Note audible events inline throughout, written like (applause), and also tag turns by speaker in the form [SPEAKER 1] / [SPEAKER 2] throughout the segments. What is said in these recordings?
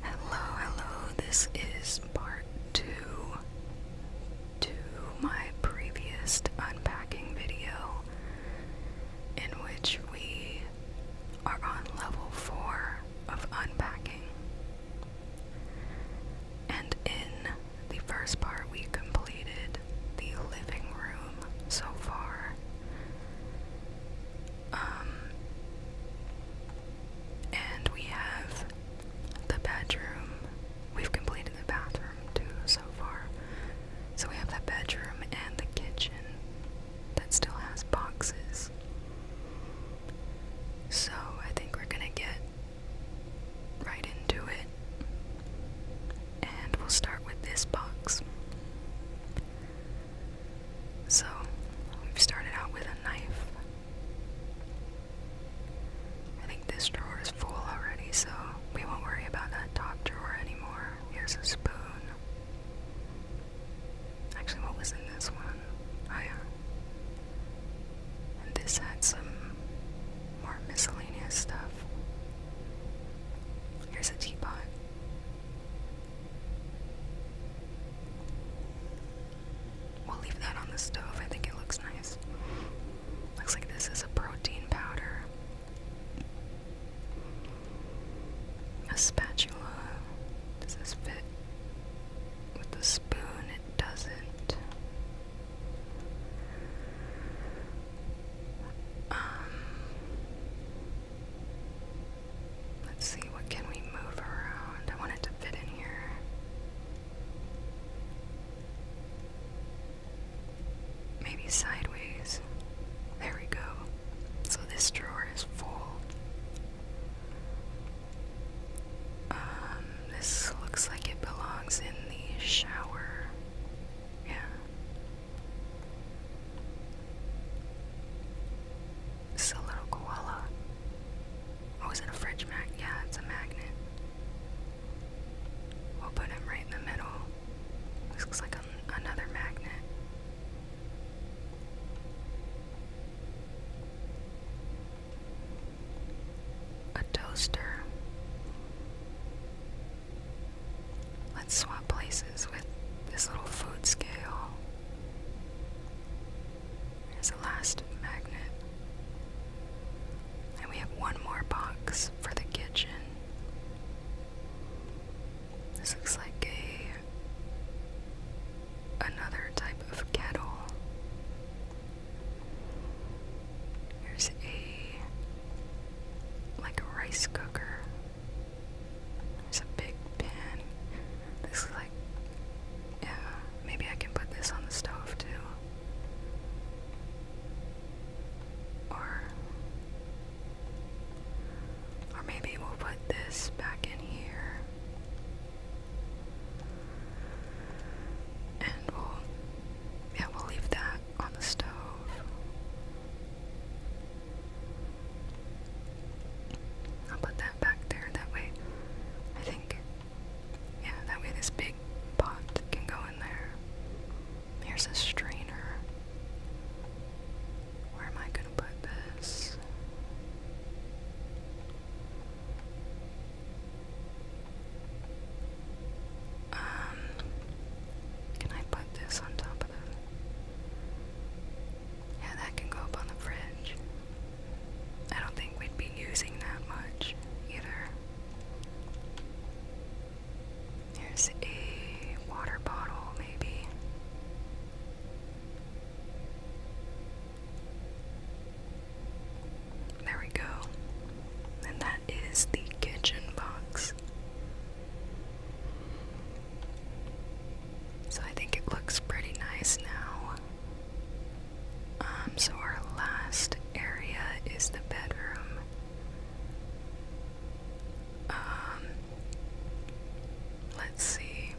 [SPEAKER 1] Hello, hello, this is part two to my previous unpacking video in which we are on level four of unpacking. And in the first part, we completed the living room so far. Um, and we have the bedroom. We've completed the bathroom too so far. So we have the bedroom and the kitchen that still has boxes. So I think we're gonna get right into it. And we'll start with this box. So, we started out with a knife. I think this drawer is full already, so we won't worry about that top drawer anymore. Here's a spoon. Actually, what was in this one? Oh, yeah. this had some more miscellaneous stuff. Here's a teapot. We'll leave that on the stove. I think it looks nice. Looks like this is a protein powder. A spatula. Does this fit with the spoon? It doesn't. Um, Let's see, what can we move around? I want it to fit in here. Maybe sideways. There we go. So this drawer is full. Um, this looks like it belongs in the shower. Yeah. It's little koala. Oh, it a fridge mag? Yeah, it's a magnet. We'll put him right in the middle. looks like another magnet. A toaster. Let's swap places with this little food scale as a last magnet. And we have one more box for the kitchen. This looks like a another type of kettle. Here's a like a rice cooker. There's a big pan. This is like, yeah, maybe I can put this on the stove too. Or, or maybe we'll put this back in here. And we'll, yeah, we'll leave that on the stove. I'll put that back there that way. I think, yeah, that way this big pot can go in there. Here's a strainer. Where am I going to put this? Um, can I put this on top of the yeah, that can go up on the fridge. I don't think we'd be using that much either. Here's a water bottle, maybe. There we go. And that is the kitchen box. So I think it looks pretty nice now. Um, so our last area is the bedroom. Um, let's see.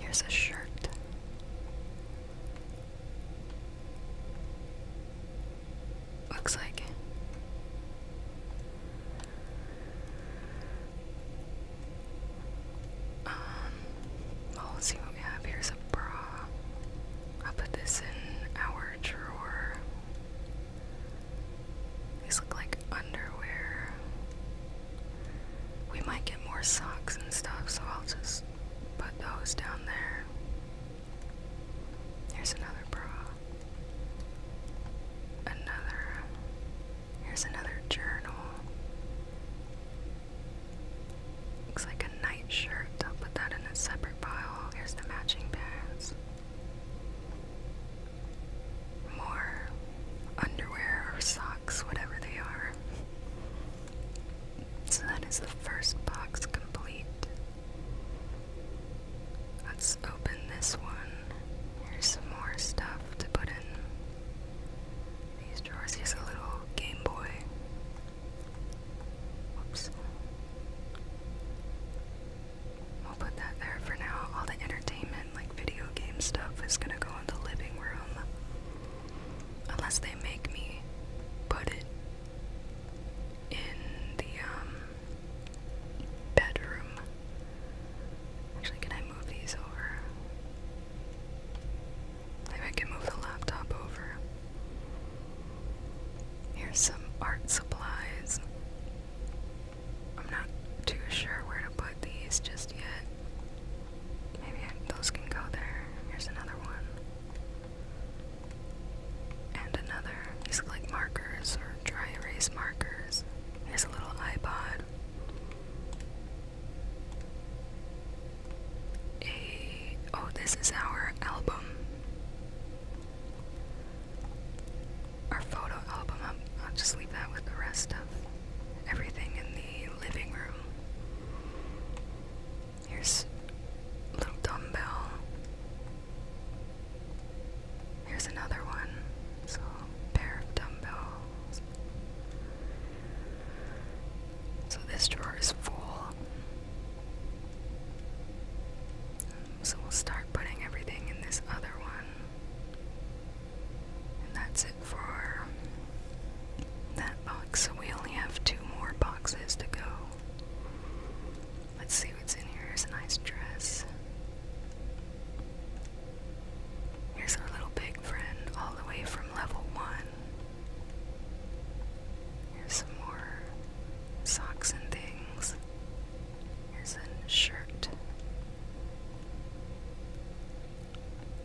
[SPEAKER 1] Here's a shirt. Looks like um, let's see what we have. Here's a bra. I'll put this in our drawer. These look like underwear. We might get more socks and stuff, so I'll just put those down there. Here's another bra. Another. Here's another journal. Looks like a night shirt. I'll put that in a separate pile. Here's the matching pants. More underwear or socks, whatever they are. So that is the first box complete. Let's open this one. Here's some more stuff to put in these drawers. Here's a little Game Boy. Whoops. I'll put that there for now. All the entertainment, like video game stuff, is gonna go in the living room. Unless they make me put it in the um, bedroom. Actually, can I move these over? Maybe I can move the laptop over. Here's some art supplies. I'm not too sure where to put these just yet. Maybe those can go there. Here's another one. And another. These look like markers or dry erase markers. Here's a little iPod. A oh, this is our album. Our photo album. I'll, just leave that with the rest of everything in the living room. Here's little dumbbell. Here's another one. So, pair of dumbbells. So, this drawer is full. So, we'll start putting everything in this other one. And that's it for that box. So, we only have two more boxes to go. Let's see what's in here. Here's a nice dress. Here's our little big friend, all the way from level one. Here's some more socks and things. Here's a shirt.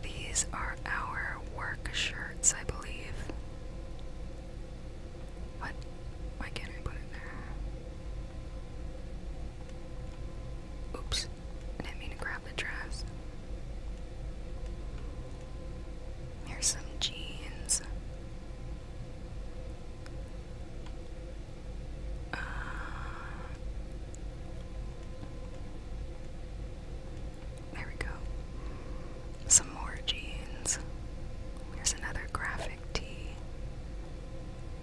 [SPEAKER 1] These are our work shirts, I believe. What? Why can't I put it there? Oops. Oops, I grab the dress. Here's some jeans. Uh, there we go. Some more jeans. Here's another graphic tee.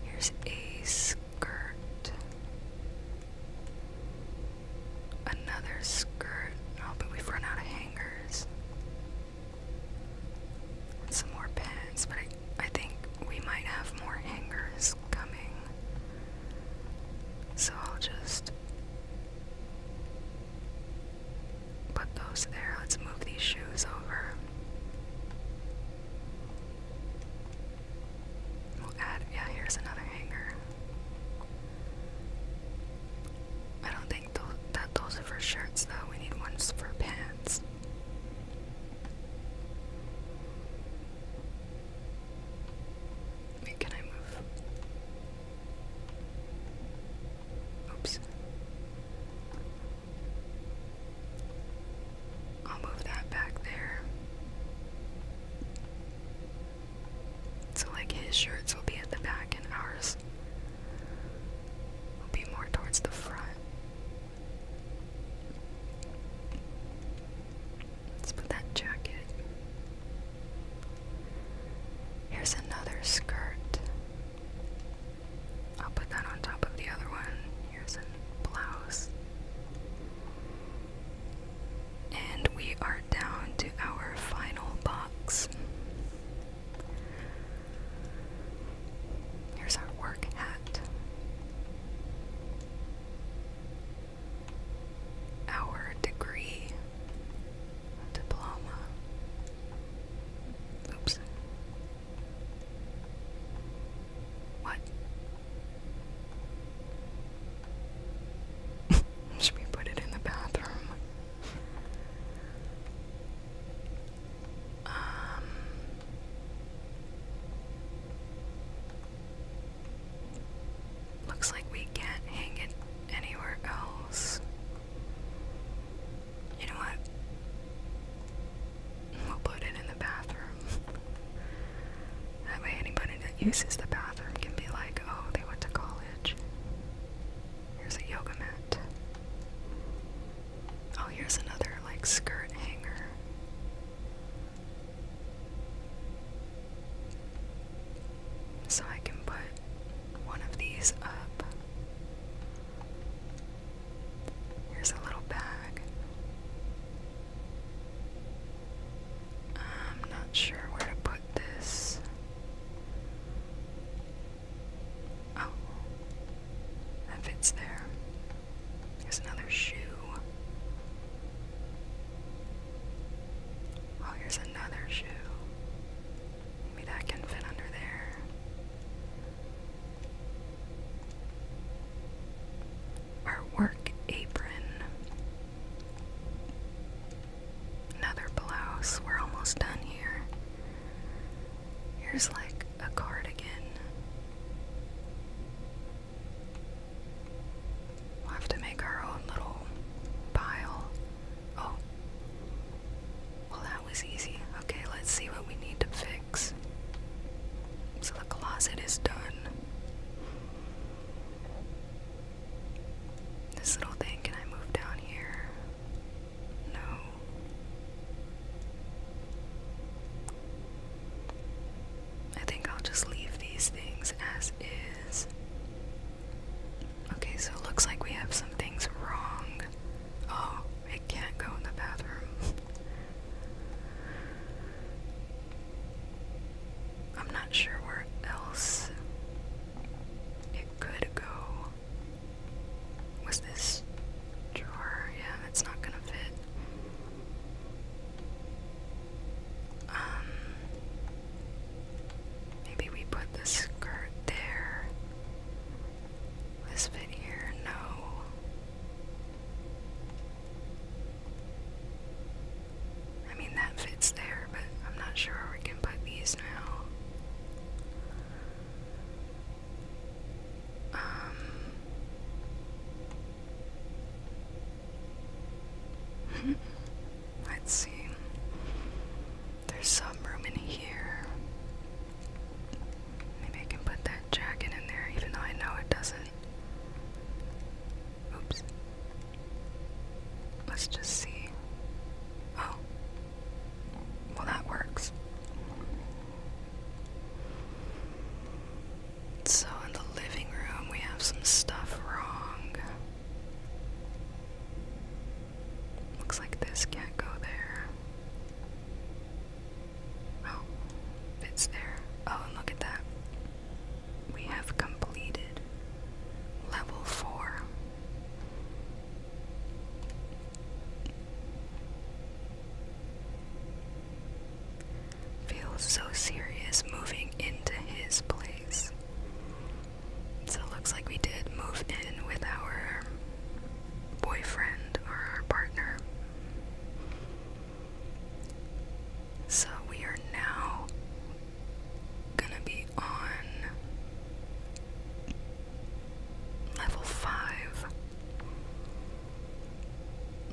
[SPEAKER 1] Here's a skirt. Another skirt. Oh, but we've run out of hangers. some more pants, but I think we might have more hangers coming. So I'll just put those there. Let's move these shoes over. We'll yeah, here's another hanger. I don't think th that those are for shirts though, we need ones for pants. can I move? Oops. I'll move that back there. So, like, his shirts will be at the back, and ours will be more towards the front. Let's put that jacket. Here's another skirt. I'll put that on top of the other one here's a blouse. And we are down to our final box. Here's our work hat. Our degree, diploma. Oops. What? (laughs) Should we put it in the bathroom? Um. Looks like we can't hang it anywhere else. You know what? We'll put it in the bathroom. That way, anybody that uses the bathroom can be like, oh, they went to college. Here's a yoga mat. Oh, here's another, like, skirt hanger. So I can put one of these up. Here's a little bag. I'm not sure where to put this. Oh, that fits there. There's another shoe. Oh, here's another shoe. Maybe that can fit under there our work apron. Another blouse. We're almost done here. Here's like a cardigan. We'll have to make our own little pile. Oh. Well, that was easy. Okay, let's see what we need to fix. So the closet is done. This little thing, can I move down here? No. I think I'll just leave these things as is. Okay, so it looks like we have some things wrong. Oh, it can't go in the bathroom. I'm not sure where else it could go. Was this drawer? Yeah, that's not gonna fit. Um, maybe we put the skirt there. this fit here? No. I mean, that fits there, but I'm not sure where we can put these now. Um, (laughs) let's see. There's some room in here. Maybe I can put that jacket in there, even though I know it doesn't. Oops. Let's just see. Oh. Well, that works. So, in the living room, we have some stuff wrong. Looks like this can't go there. Oh, it's there. Oh, look at that. We have completed level four. Feels so serious moving into his place. So it looks like we did move in with our boyfriend or our partner. So we are now gonna be on level 5.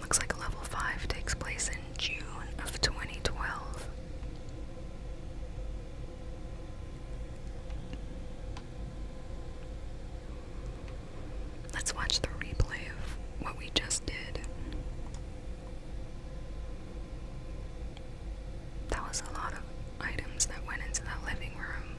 [SPEAKER 1] Looks like level 5 takes place in June of 2012. Let's watch the replay of what we just did. That was a lot of items that went into that living room.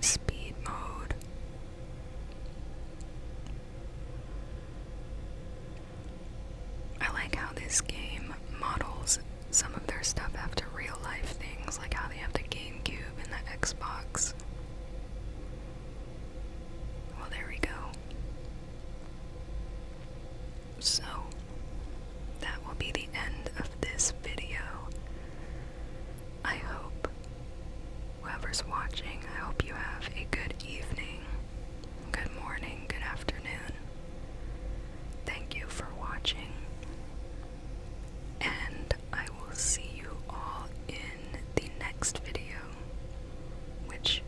[SPEAKER 1] Speed mode. I like how this game models some of their stuff after real life things, like how they have the GameCube and the Xbox. Well, there we go. So, that will be the end of this video. I hope whoever's watching, I hope you have a good evening, good morning, good afternoon. Thank you for watching, and I will see you all in the next video, which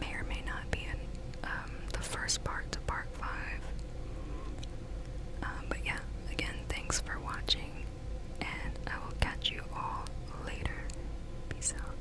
[SPEAKER 1] may or may not be in um, the first part to part 5. Um, but yeah, again, thanks for watching, and I will catch you all later. Peace out.